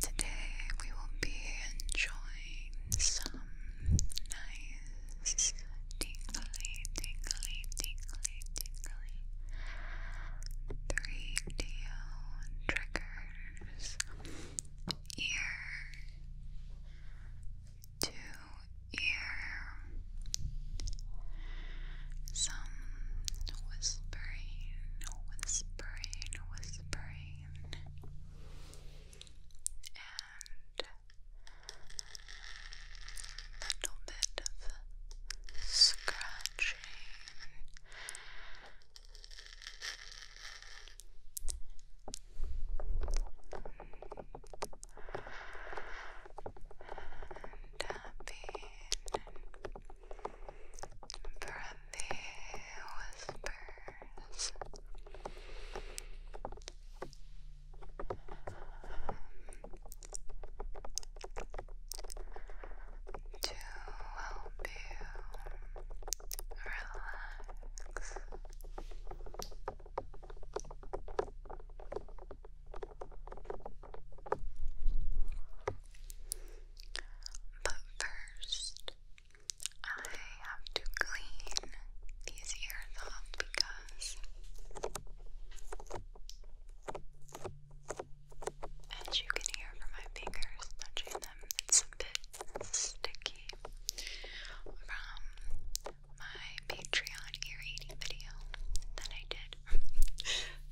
Today we will be enjoying some nice tingly, tingly, tingly, tingly 3DO triggers ear to ear some whispering, whispering, and whispering a little bit of scratching. tapping from the whispers. To help you relax. But first, I have to clean these ears because, as you can hear from my fingers touching them, it's a bit sticky from my Patreon ear eating video that I did.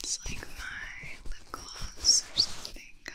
It's like my lip gloss or something got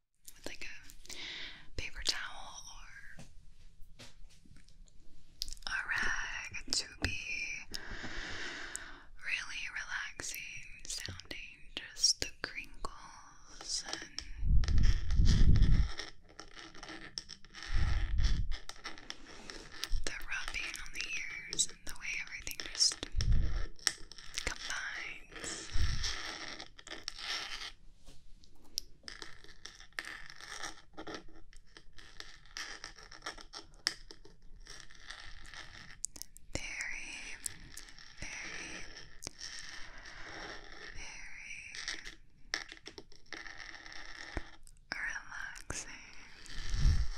with like a paper towel or a rag to be really relaxing sounding, just the crinkles and the rubbing on the ears and the way everything just combines. Very, very, very relaxing. Very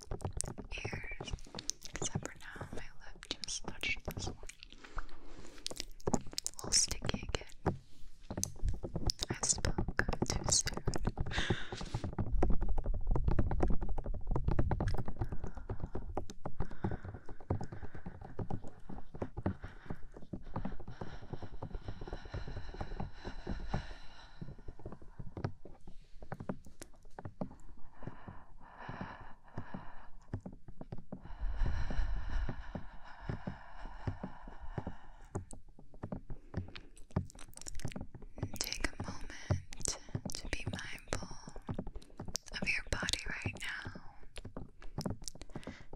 ears. Except for now, my lip just touched this one. little sticky again. I spoke too soon. Take a moment to be mindful of your body right now.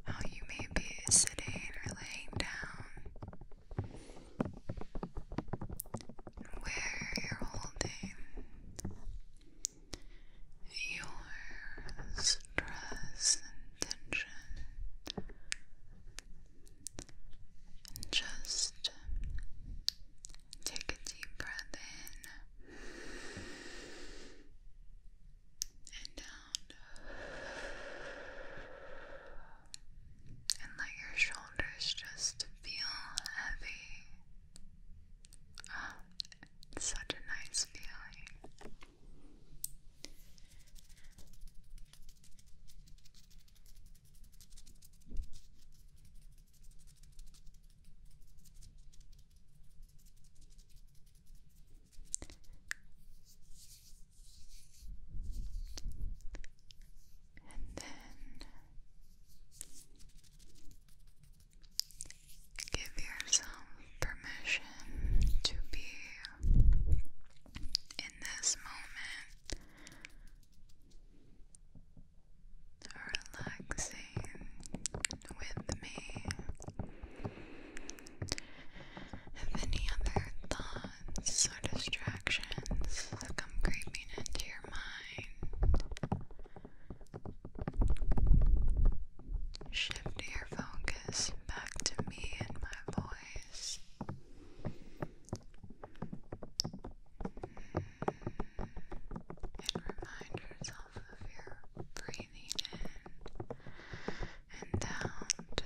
How you may be sitting or laying down where you're holding your stress and tension just take a deep breath in and down and let your shoulders just feel heavy Ah, such a nice feeling and then give yourself permission to be in this moment relaxing with me. If any other thoughts or distractions come creeping into your mind, Shift your focus back to me and my voice. And remind yourself of your breathing in and out.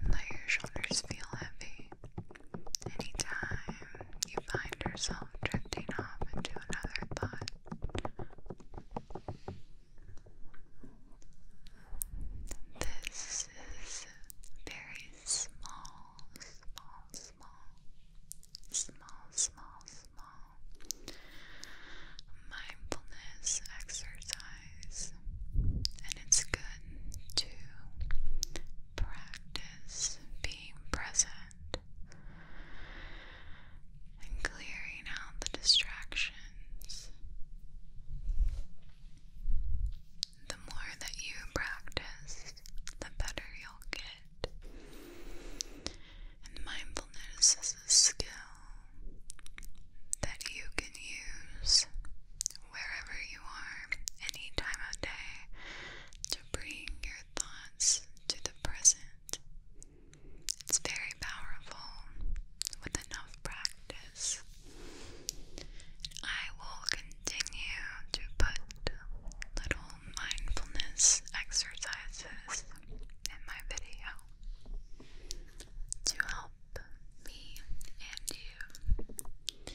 And let your shoulders feel heavy. Anytime you find yourself drifting off into another thought, this is very small, small, small, small, small, small mindfulness exercise, and it's good to practice being present and clearing out the distractions. The more that you practice, the better you'll get. And mindfulness is a skill that you can use wherever you are, any time of day, to bring your thoughts to the present. It's very powerful with enough practice. I will continue to put little mindfulness exercises in my video to help me and you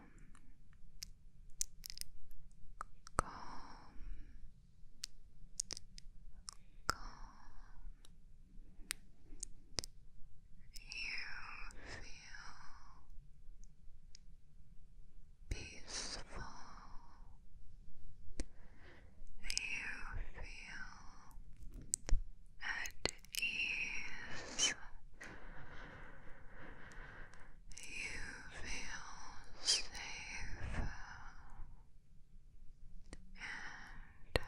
calm, calm. You feel peaceful. You feel at ease. You feel safe and happy.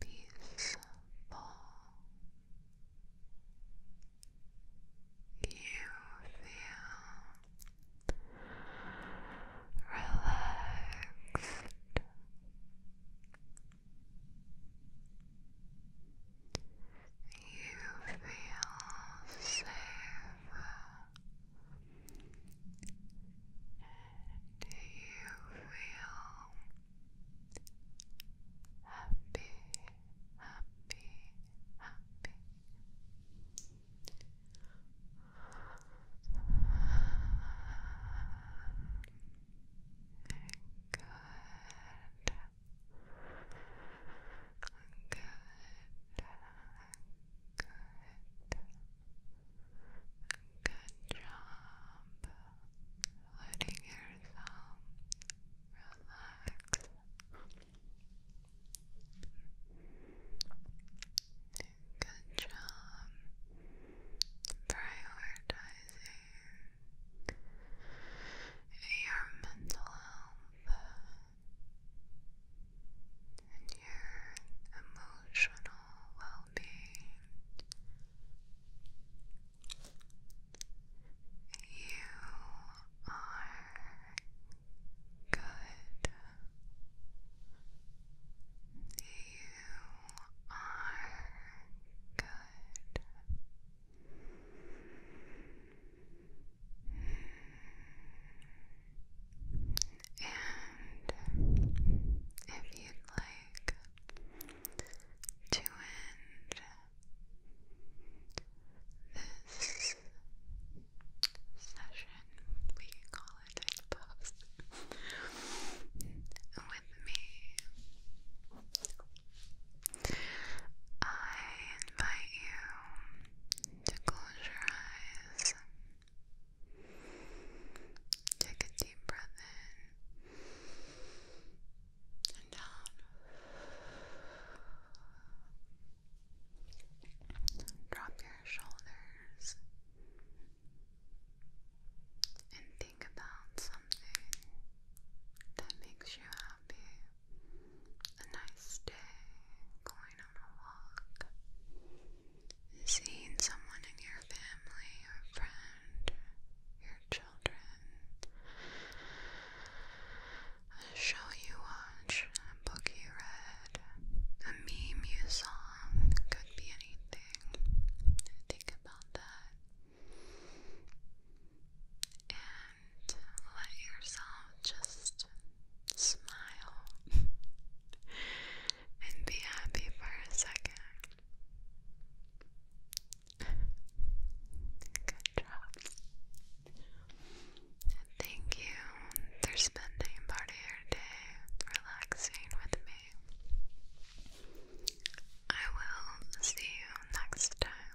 peaceful. You feel relaxed. You feel safe. Do you feel happy, happy, happy? Good. Good. Good. Good job letting yourself relax. Good job prioritizing your mental health your emotional well being. You are good. You are good. And if you'd like to end this session, we call it, I suppose, with me, I invite you to close your eyes. Take a deep breath in and out. Drop your shoulders and think about something that makes you happy. A nice day, going on a walk, seeing someone in your family or friend, your children, a show you watched, a book you read, a meme you saw, could be anything. Think about that. And let yourself just smile. and be happy for a second. Good job. And thank you for spending part of your day relaxing with me. I will see you next time.